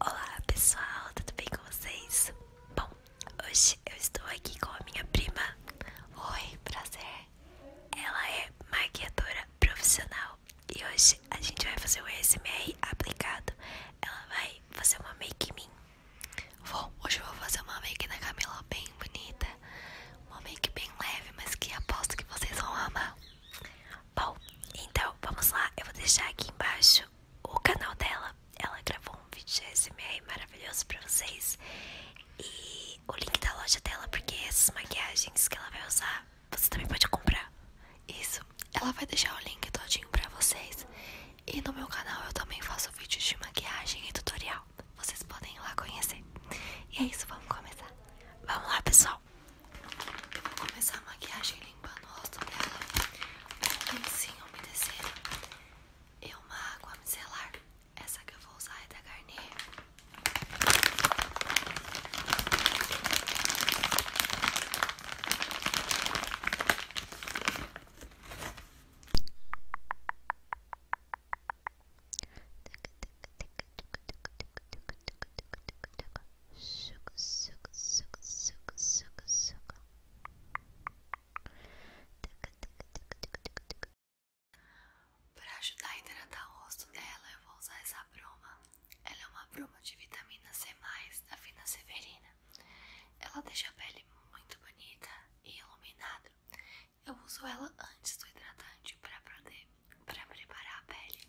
Olá pessoal, tudo bem com vocês? Bom, hoje eu estou aqui com a minha prima. Oi, prazer. Ela é maquiadora profissional e hoje a gente vai fazer o ASMR aplicado. Ela vai fazer uma make em mim. Bom, hoje eu vou fazer uma make na Camila bem bonita. Uma make bem leve, mas que aposto que vocês vão amar. Bom, então vamos lá. Eu vou deixar aqui embaixo o canal dela. Ela gravou um vídeo de SMR maravilhoso pra vocês. E o link da loja dela, porque essas maquiagens que ela vai usar, você também pode comprar. Isso, ela vai deixar o link todinho pra vocês. E no meu canal eu também faço vídeos de maquiagem e tutorial. Vocês podem ir lá conhecer. E é isso, vamos começar. Vamos lá, pessoal. Vou começar a maquiagem limpando o rosto dela com um lencinho umedecido e uma água micelar. Essa que eu vou usar é da Garnier suco, suco, suco, suco, suco, suco. Para ajudar a hidratar o rosto dela, eu vou usar essa broma Ela é uma broma de vitamina C+, da Fina Severina. Ela deixa a pele muito bonita e iluminada. Eu uso ela antes do hidratante para poder para preparar a pele.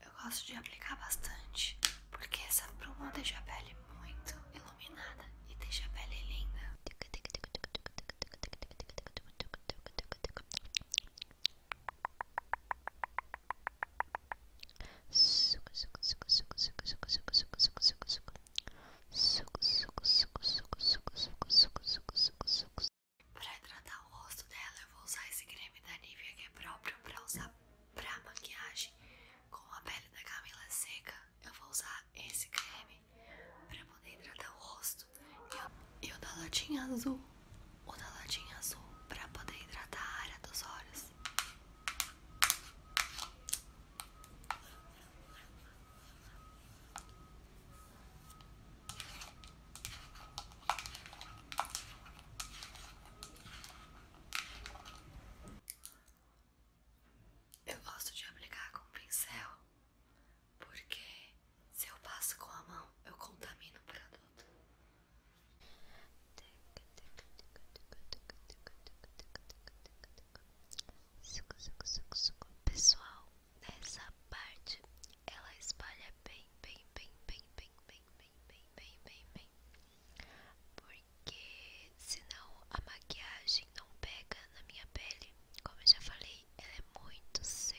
Eu gosto de aplicar bastante, porque essa bruma deixa a pele muito iluminada e deixa a pele linda. Suco, suco, suco, suco, suco, suco, suco, suco, suco, suco, suco. Suco, suco, suco, suco, suco, suco, suco, suco, suco, suco. Pra hidratar o rosto dela, eu vou usar esse creme da Nivea que é próprio pra usar Pra maquiagem, com a pele da Camila seca, eu vou usar esse creme pra poder hidratar o rosto. E o da latinha azul, o da latinha azul pra poder hidratar a área dos olhos. Eu gosto de aplicar com pincel, porque se eu passo com a mão, eu contamino o produto. Pessoal, dessa parte ela espalha bem, bem, bem, bem, bem, bem, bem, bem, bem, bem porque senão a maquiagem não pega na minha pele. Como eu já falei, ela é muito seca.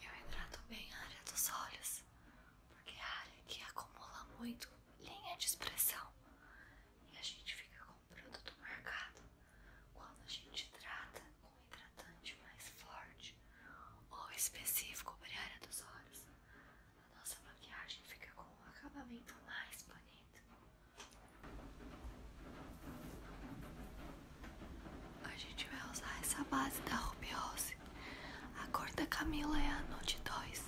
Eu hidrato bem a área dos olhos, porque é a área que acumula muito linha de expressão e a gente fica com o produto marcado. Quando a gente trata com hidratante mais forte ou específico para a área dos olhos, a nossa maquiagem fica com um acabamento mais bonito. A gente vai usar essa base da Ruby A cor da Camila é a Nude dois.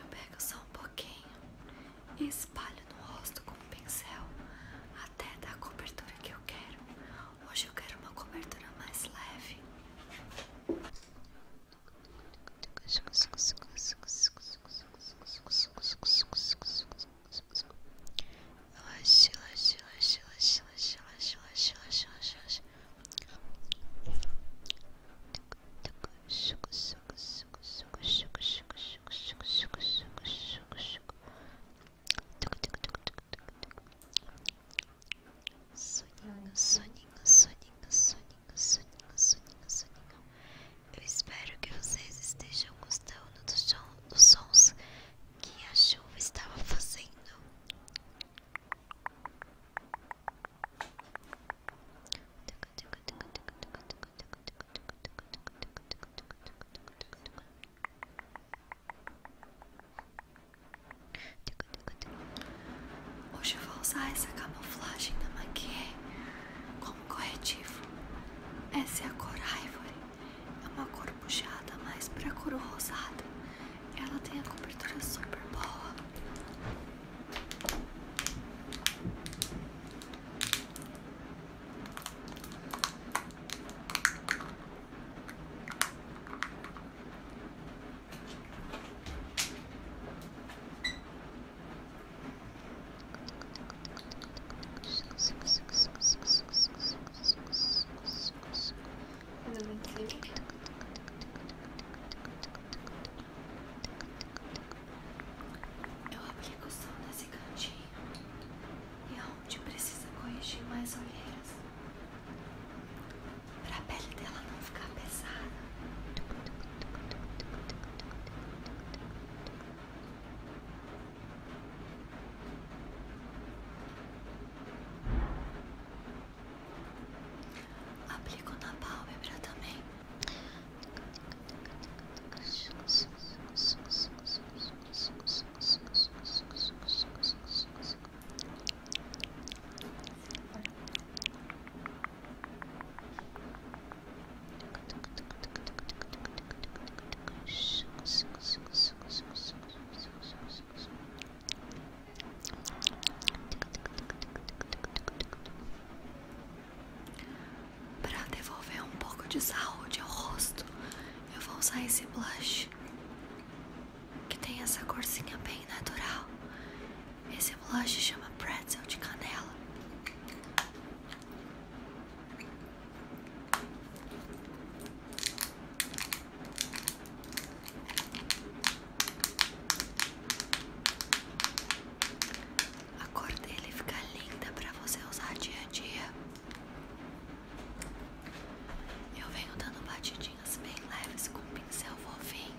Eu pego só um pouquinho e espalho no rosto com um pincel até dar a cobertura que eu quero. Hoje eu quero uma cobertura mais leve relaxa, relaxa, relaxa, relaxa, relaxa, relaxa, relaxa, relaxa, relaxa. Soninho, soninho, soninho, soninho, soninho, soninho, soninho. Eu espero que vocês estejam gostando dos sons que a chuva estava fazendo. Hoje eu vou usar essa camuflagem da Maquia como corretivo. Essa é a cor Ivory é uma cor puxada mais pra cor rosada. Ela tem a cobertura super boa. Eu aplico só nesse cantinho e é onde precisa corrigir mais olheiras para a pele dela não ficar pesada. Aplico na pálpebra também. Para devolver um pouco de saúde ao rosto, eu vou usar esse blush que tem essa corzinha bem natural. Esse blush chama pretzel de canela. A cor dele fica linda para você usar dia a dia. Eu venho dando batidinhas bem leves com um pincel fofinho.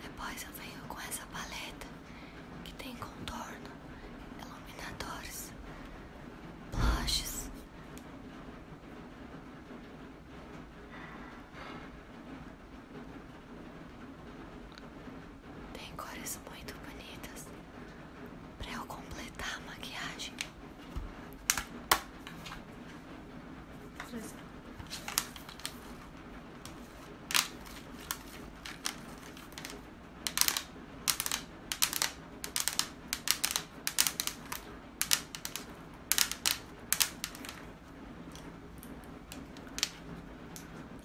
Depois eu venho com essa paleta que tem contorno, iluminadores, blushes. Tem cores muito bonitas para eu completar a maquiagem.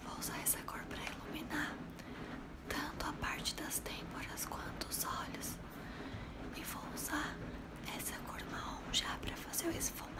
Vou usar essa cor para iluminar tanto a parte das têmporas quanto os olhos. E vou usar essa cor marrom já para fazer o esfumado.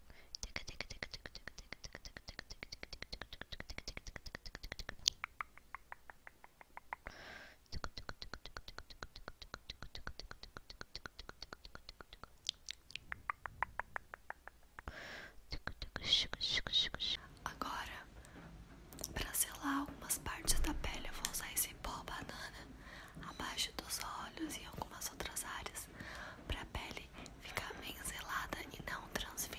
Agora, para selar algumas partes da pele, eu vou usar esse pó banana abaixo dos olhos e algumas outras áreas para a pele ficar bem zelada e não transferir.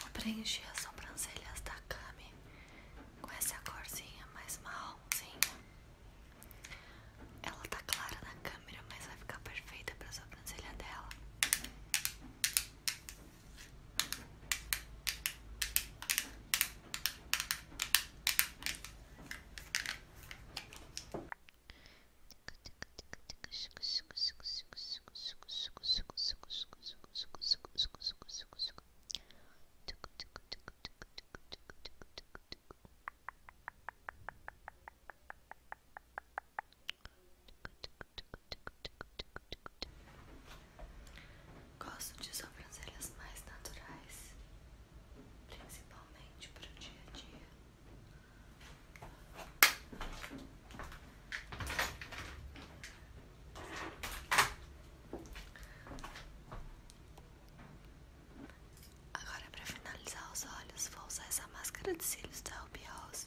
Vou preencher as sobrancelhas da Kami com essa corzinha mais marronzinha. Ela tá clara na câmera, mas vai ficar perfeita pra sobrancelha dela. Gosto de sobrancelhas mais naturais, principalmente para o dia a dia. Agora, para finalizar os olhos, vou usar essa máscara de cílios da Ruby House.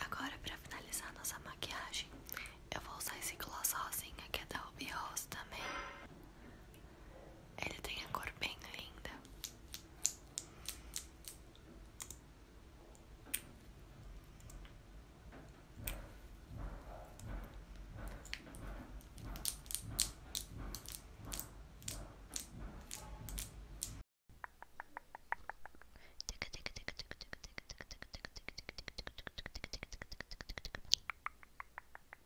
Agora, para finalizar nossa maquiagem, eu vou usar esse gloss rosinha que é da Ruby Rose também. Ele tem a cor bem linda.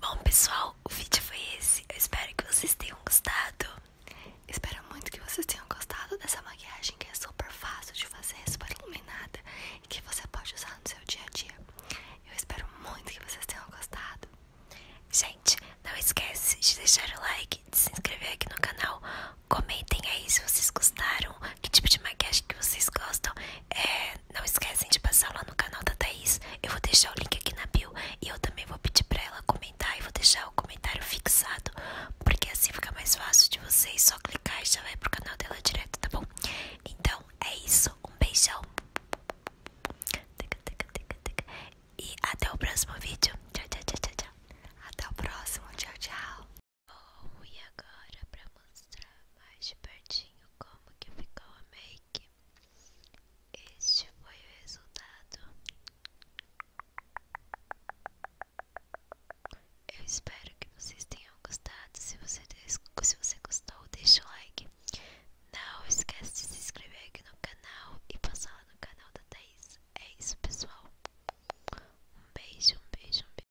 Bom pessoal, o vídeo foi esse. Eu espero que vocês tenham gostado. Espero muito que vocês tenham gostado dessa maquiagem que é super fácil de fazer, super iluminada e que você pode usar no seu dia a dia. Eu espero muito que vocês tenham gostado. Gente, não esquece de deixar o like, de se inscrever aqui no canal. Comentem aí se vocês gostaram, que tipo de maquiagem que vocês gostam é, não esquecem de passar lá no canal da Thaís. Eu vou deixar o link aqui na bio. E eu também vou pedir pra ela comentar. E vou deixar o comentário fixado. Porque assim fica mais fácil de vocês. Só clicar e já vai pro canal dela direto, tá bom? Então é isso. Um beijão. E até o próximo vídeo. tchau, tchau, tchau, tchau. Até o próximo. Tchau, tchau. Bom, e agora para mostrar mais de pertinho como que ficou a make, este foi o resultado. Eu espero que vocês tenham gostado. Se você, se você gostou, deixa o like. Não esquece de se inscrever aqui no canal e passar lá no canal da Thais. É isso, pessoal. Um beijo, um beijo, um beijo.